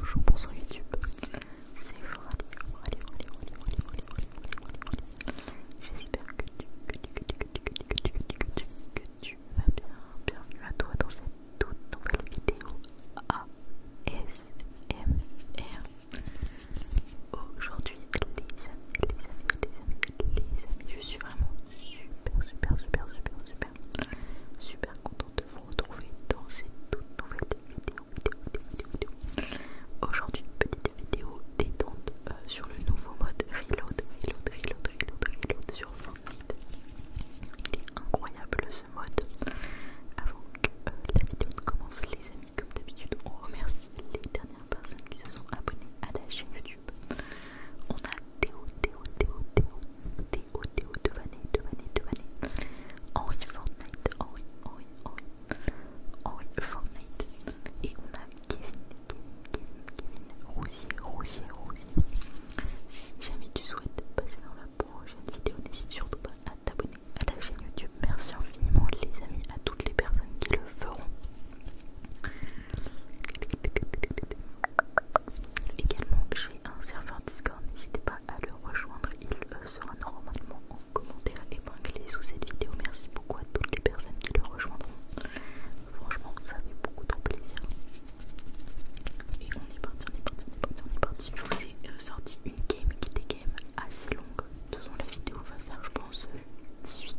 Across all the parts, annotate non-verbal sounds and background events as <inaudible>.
Bonjour, bonsoir YouTube, c'est Frali, allez, allez, allez, allez, allez. J'espère que tu, que tu, que que tu, que tu vas bien. Bienvenue à toi dans cette toute nouvelle vidéo ASMR. Aujourd'hui, les amis, les amis, les amis, les amis, je suis vraiment super, super, super, super, super super, content contente de vous retrouver dans cette toute nouvelle vidéo, vidéo, vidéo, Aujourd'hui, petite vidéo détente euh, sur le nouveau mode Reload, Reload, Reload, Reload, Reload sur Fortnite. Il est incroyable ce mode. Avant que euh, la vidéo ne commence, les amis, comme d'habitude, on remercie les dernières personnes qui se sont abonnées à la chaîne YouTube. On a Théo, Théo, Théo, Théo, Théo, Théo, Devané, Devané, Devané. Henri Fortnite, Henri, Henri, Henri, Henri Fortnite. Et on a Kevin, Kevin, Kevin, Kevin, Rosier, Rosier, Rosier. Si jamais tu souhaites passer dans la prochaine vidéo, n'hésite surtout pas à t'abonner à la chaîne YouTube. Merci infiniment les amis, à toutes les personnes qui le feront. Également, j'ai un serveur Discord, n'hésitez pas à le rejoindre, il euh, sera normalement en commentaire épinglé sous cette vidéo. Merci beaucoup à toutes les personnes qui le rejoindront. Franchement, ça fait beaucoup trop plaisir. Et on est parti, on est parti, on est parti, Je vous ai euh, sorti une game qui était game assez longue. De toute façon, la vidéo va faire, je pense, 18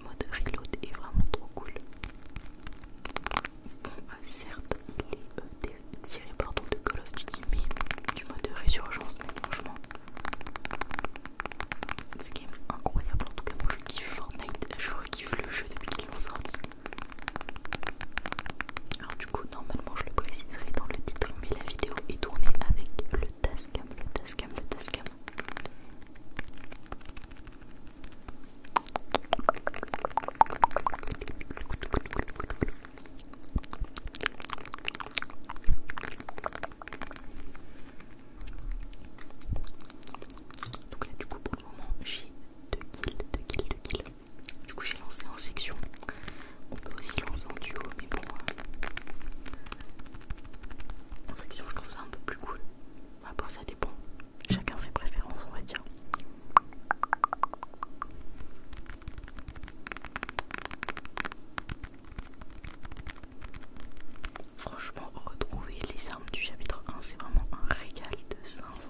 Le mode reload est vraiment trop cool. Bon, euh, certes, il est euh, tiré pardon, de Call of Duty, mais du mode résurgence, mais franchement, c'est quand même incroyable. En tout cas, moi je kiffe Fortnite, je kiffe le jeu depuis qu'il l'ont sorti. Alors, du coup, normalement, je le préciserai dans le titre, mais la vidéo est tournée avec le Tascam, le Tascam, le Tascam. Donc là du coup pour le moment j'ai deux kills, deux kills, deux kills. Du coup j'ai lancé en section. On peut aussi lancer en duo mais bon euh, en section, je trouve ça un peu plus cool. Après, bah, ça dépend. Chacun ses préférences, on va dire. Franchement, retrouver les armes du chapitre 1, c'est vraiment un régal de sens.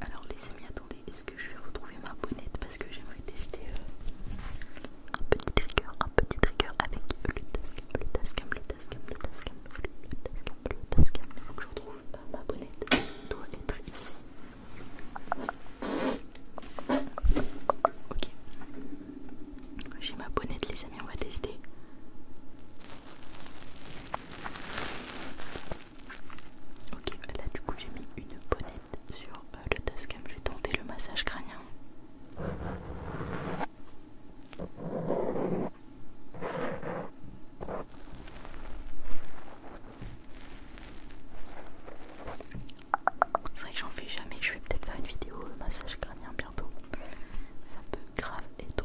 Alors les amis, attendez, est-ce que je vais retrouver ma bonnette parce que j'aimerais tester euh, un petit trigger, un petit trigger avec le tascam, le tascam, le le le Il faut que je retrouve euh, ma bonnette. Elle doit être ici. Ok. J'ai ma bonnette les amis, on va tester. Ok, là du coup j'ai mis une bonnette sur euh, le tascam, vais tenter le massage crânien. C'est vrai que j'en fais jamais, je vais peut-être faire une vidéo euh, massage crânien bientôt. Ça peut grave être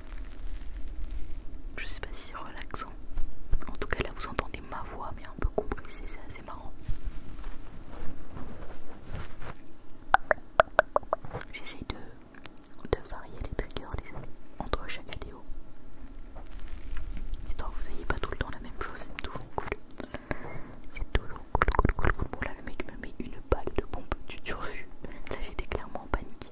Je sais pas si c'est relaxant. En tout cas, là vous entendez ma voix, mais un peu compressée, c'est assez marrant. J'essaye de, de varier les triggers, les entre chaque vidéo. Histoire que vous ayez pas tout le temps la même chose, c'est toujours cool. C'est toujours cool, cool, cool, cool. Bon, là, le mec me met une balle de pompe, tu t'es Là, j'étais clairement en panique.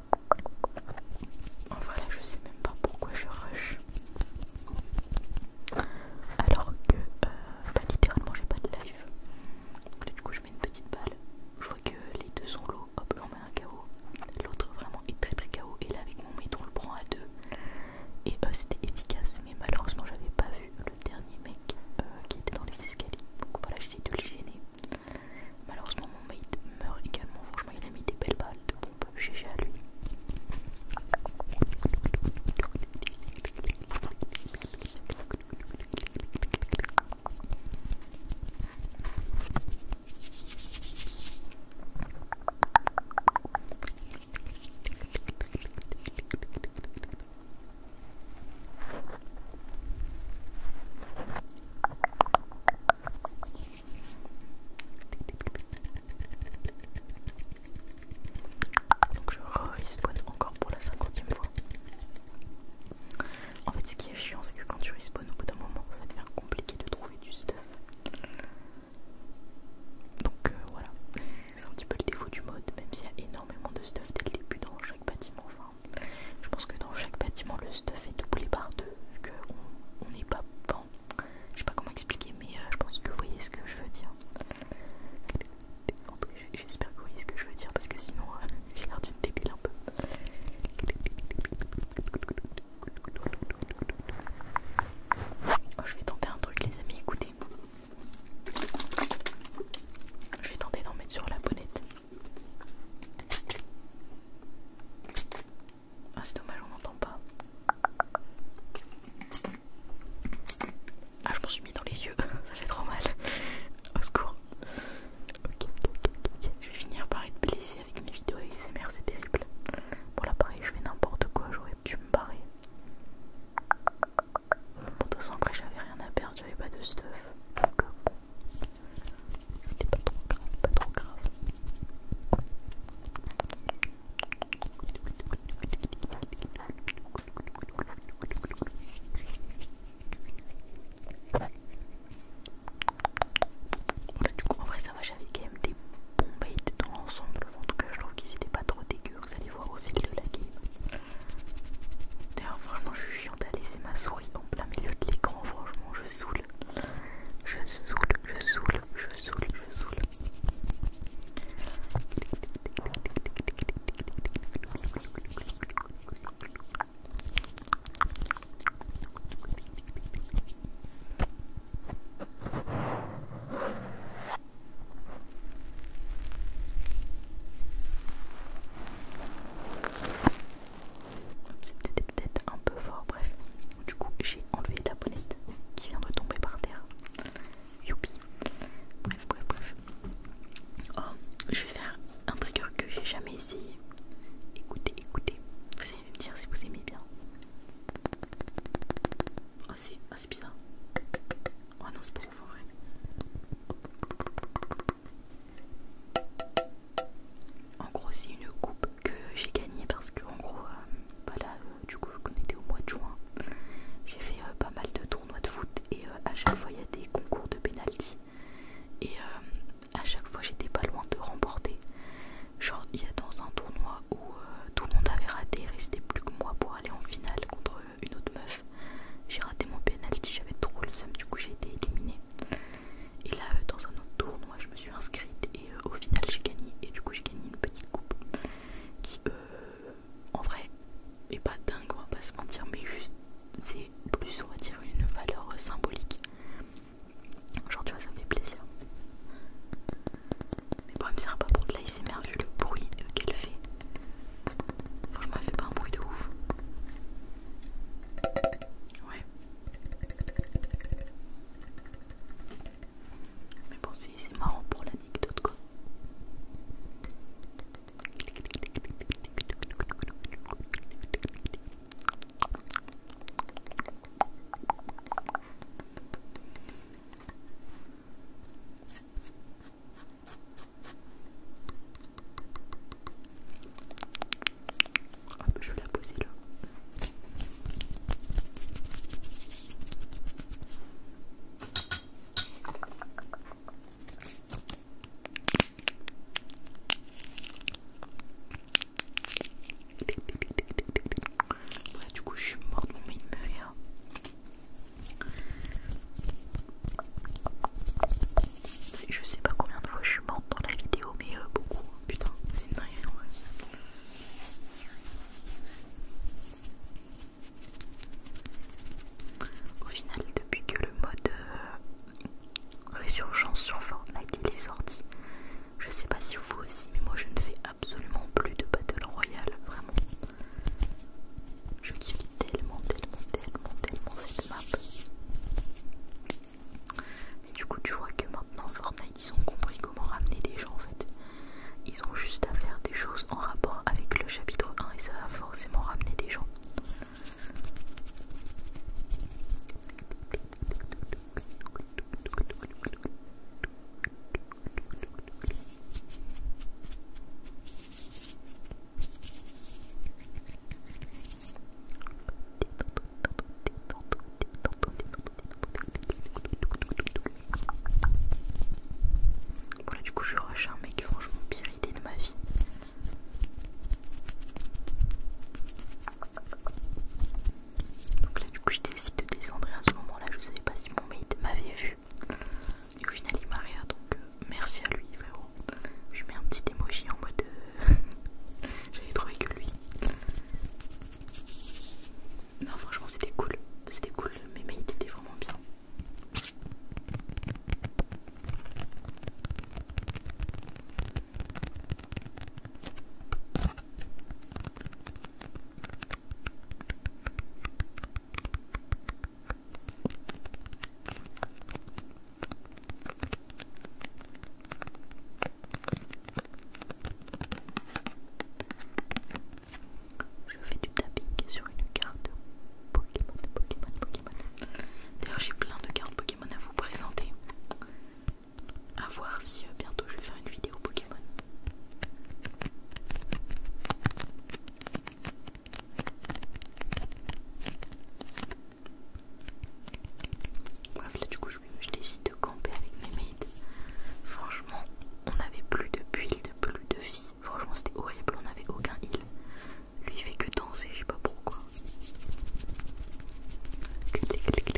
En vrai là je sais même pas pourquoi je rush. Alors que euh, bah, littéralement j'ai pas de live. Donc là du coup je mets une petite balle. Je vois que les deux sont low, hop j'en met un KO. L'autre vraiment est très très KO et là avec mon maître on le prend à deux. Et euh, c'était efficace mais malheureusement j'avais pas vu le dernier mec euh, qui était dans les escaliers. Donc voilà j'essaie de le gêner. Malheureusement, mon mate meurt également. Franchement, il a mis des belles balles peut pompe. GG à lui. Donc je respawn encore pour la cinquantième fois. En fait ce qui est chiant c'est que quand tu respawn au bout d'un moment ça devient compliqué de trouver du stuff. Donc euh, voilà, c'est un petit peu le défaut du mode, même s'il y a énormément de stuff dès le début dans chaque bâtiment, enfin je pense que dans chaque bâtiment, le stuff est doublé par deux, vu qu'on n'est pas. dans... je sais pas comment expliquer, mais euh, je pense que vous voyez ce que je veux dire. J'espère que vous voyez ce que je veux dire, parce que sinon, euh, <laughs> j'ai l'air d'une débile un peu. Oh, je vais tenter un truc, les amis. Écoutez, je vais tenter d'en mettre sur la bonnette. Ah c'est dommage on n'entend pas. Ah je m'en suis mis dans les yeux, <laughs> ça fait trop mal. Au secours. ok Je vais finir par être blessée avec mes vidéos ASMR, c'est terrible. Pour pareil, je fais n'importe quoi, j'aurais pu me barrer de toute façon, après, j'avais rien à perdre, j'avais pas de stuff. Donc, bon, c'était pas trop grave, pas trop grave. du coup, en vrai, ça va, j'avais quand même des bons baits dans l'ensemble. En tout cas, je trouve qu'ils c'était pas trop dégueu, Vous allez voir au fil de la game. D'ailleurs, franchement, je suis chiante à laisser ma souris en plein milieu de l'écran. Franchement, je saoule. Je saoule, je saoule, je saoule, je saoule. C'était peut-être un peu fort, bref. Du coup, j'ai enlevé la bonnette qui vient de tomber par terre. Youpi. Bref, bref, bref. Oh, je vais faire un trigger que j'ai jamais essayé. Écoutez, écoutez. Vous allez me dire si vous aimez bien. Oh, c'est oh, bizarre. Oh non, c'est en gros, c'est une coupe que j'ai gagnée parce que, en gros, euh, voilà, euh, du coup, qu'on était au mois de juin, j'ai fait euh, pas mal de tournois de foot et à chaque fois il y a des concours de pénalty. Et à chaque fois, j'étais pas loin de remporter. Genre, il y a dans un tournoi où tout le monde avait raté, il restait plus que moi pour aller en finale contre une autre meuf. J'ai raté mon penalty, j'avais trop le seum, du coup j'ai été éliminée. Et là, euh, dans un autre tournoi, je me suis inscrite et euh, au final j'ai gagné. Et du coup, j'ai gagné une petite coupe qui, euh, en vrai, est pas dingue, on va pas se mentir, mais juste c'est plus, on va dire, une valeur symbolique. Genre, tu vois, ça me fait plaisir. Mais bon, ça me sert pas pour de l'ASMR vu le bruit qu'elle fait. Franchement, elle fait pas un bruit de ouf. Ouais. Mais bon, c'est marrant pour l'anecdote quoi. Ah je vais la poser là. Ouais, du coup je suis morte, mon il me rien. Je sais pas combien de fois je suis morte dans la vidéo, mais euh, beaucoup. Putain, c'est une en vrai. Au final, depuis que le mode euh, résurgence sur Fortnite est sorti, je sais pas si vous aussi, mais moi je ne fais absolument plus de Battle Royale, vraiment. Je kiffe tellement, tellement, tellement, tellement cette map. Mais du coup, tu vois que maintenant Fortnite, ils ont compris comment ramener des gens en fait. Ils ont juste à faire des choses en rapport avec le chapitre 1 et ça va forcément ramener des gens. Voilà, du coup, je rush un mec, franchement, pire idée de ma vie. Donc là, du coup, je décide de descendre à ce moment-là, je savais pas si mon mate m'avait vu. Du Et au final, il m'a réa donc euh, merci à lui, frérot. Je mets un petit emoji en mode. Euh, <laughs> j'avais trouvé que lui. Non, franchement, c'était cool. C'était cool, mais il était vraiment bien. Je fais du tapping sur une carte Pokémon, Pokémon, Pokémon. D'ailleurs, j'ai plein de cartes Pokémon à vous présenter. À voir si euh, bientôt je vais faire une vidéo Pokémon. Bref, là du coup, je, décide de camper avec mes maids. Franchement, on n'avait plus de build, plus de vie. Franchement, c'était horrible, on n'avait aucun heal. Lui, il fait que danser, je sais pas pourquoi.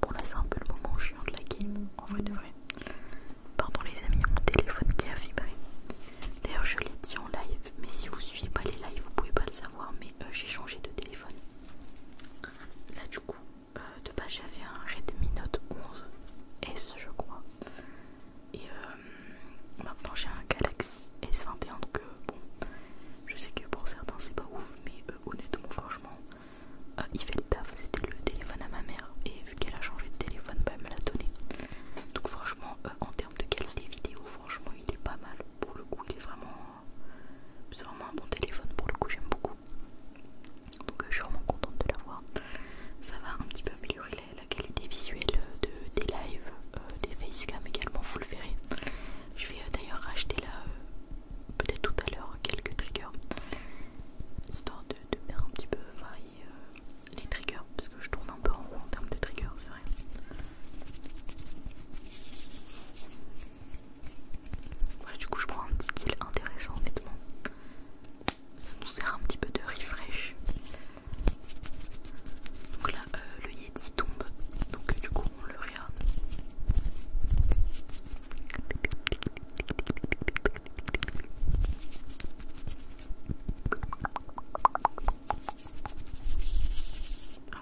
Bon là c'est un peu le moment chiant de la game, en vrai de vrai. Pardon les amis, mon téléphone qui a vibré. D'ailleurs je l'ai dit en live, mais si vous suivez pas les lives vous pouvez pas le savoir, mais euh, j'ai changé de téléphone. Là du coup euh, de base j'avais un Redmi Note 11 S je crois et euh, maintenant j'ai un Galaxy S21 donc euh, bon je sais que pour certains c'est pas ouf mais honnêtement franchement il fait le taf c'était le téléphone à ma mère et vu qu'elle a changé de téléphone bah, elle me l'a donné donc franchement en termes de qualité vidéo franchement il est pas mal pour le coup il est vraiment c'est vraiment un bon téléphone pour le coup j'aime beaucoup donc euh, je suis vraiment contente de l'avoir. Ça va un petit peu améliorer la, qualité visuelle euh, de, des lives, euh, des facecam également, vous le verrez. Je vais d'ailleurs racheter là, peut-être tout à l'heure, quelques triggers, histoire de, de faire un petit peu varier les triggers, parce que je tourne un peu en haut en termes de triggers, c'est vrai. Voilà, du coup, je prends un petit kill intéressant, honnêtement. Ça nous sert un petit peu de refresh. Donc là, euh, le Yeti tombe, donc euh, du coup, on le regarde.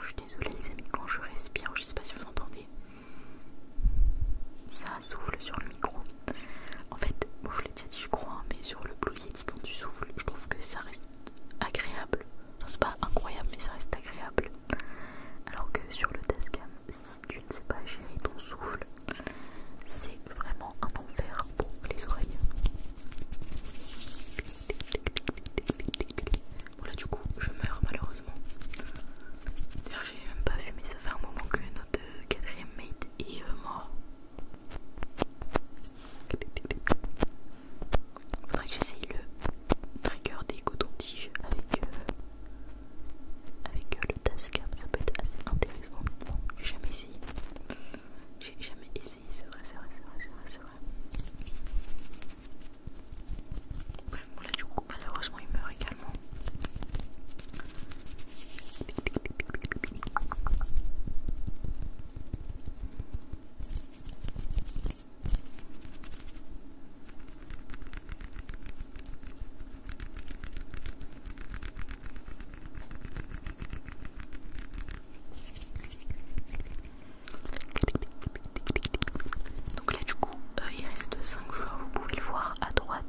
je suis désolée, les amis, quand je respire, je sais pas si vous entendez ça souffle sur le micro. En fait, moi je l'ai déjà dit, je crois, hein, mais sur le Blue Yeti, quand tu souffles, je trouve que ça reste agréable. c'est pas incroyable, mais ça reste agréable. Alors que sur le Tascam, si tu ne sais pas gérer ton souffle, c'est vraiment un enfer pour les oreilles. Bon, là, du coup, je meurs malheureusement. D'ailleurs, j'ai même pas vu, mais ça fait un moment que notre euh, quatrième mate est euh, mort. Faudrait que j'essaye le trigger des cotons-tiges avec, euh, avec le tascam, ça peut être assez intéressant. j'ai jamais essayé. J'ai jamais essayé, c'est vrai, c'est vrai, c'est vrai, malheureusement il meurt également. Donc là du coup euh, il reste 5 joueurs, vous pouvez le voir à droite.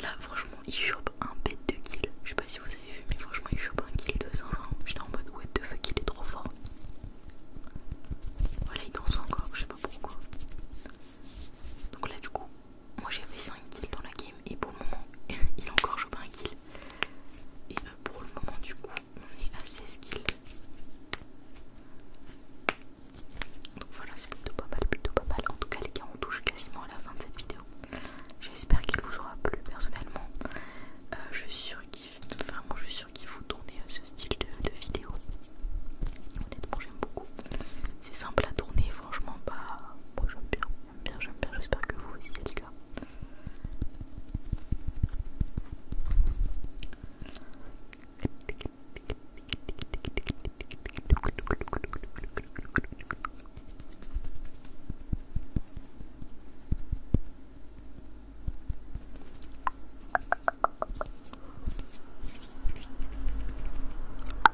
Là franchement il chope un bête de kill. Je sais pas si vous avez vu mais franchement il chope un kill de 500. J'étais en mode what the fuck il est trop fort. Voilà il danse encore, je sais pas pourquoi. Donc là du coup moi j'ai fait 5 kills dans la game et pour le moment <laughs> il a encore chopé un kill. Et euh, pour le moment du coup on est à 16 Donc voilà, c'est plutôt pas mal, plutôt pas mal. En tout cas, les gars, on touche quasiment à la fin de cette vidéo. J'espère qu'il vous aura plu personnellement. Euh, je suis sûre qu'il qu'il vous tourner euh, ce style de, vidéo. Honnêtement, j'aime beaucoup. C'est simple à tourner, franchement, pas. moi, j'aime bien. J'aime bien, j'aime bien, j'espère que vous aussi c'est le cas.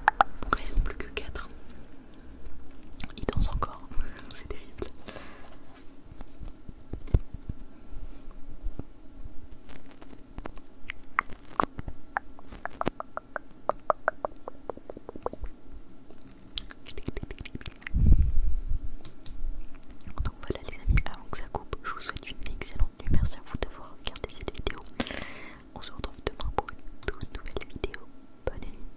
Donc là ils sont plus que 4. Il danse encore, <laughs> c'est terrible. Donc voilà les amis, avant que ça coupe, je vous souhaite une excellente nuit. Merci à vous d'avoir regardé cette vidéo. On se retrouve demain pour une toute nouvelle vidéo. Bonne nuit.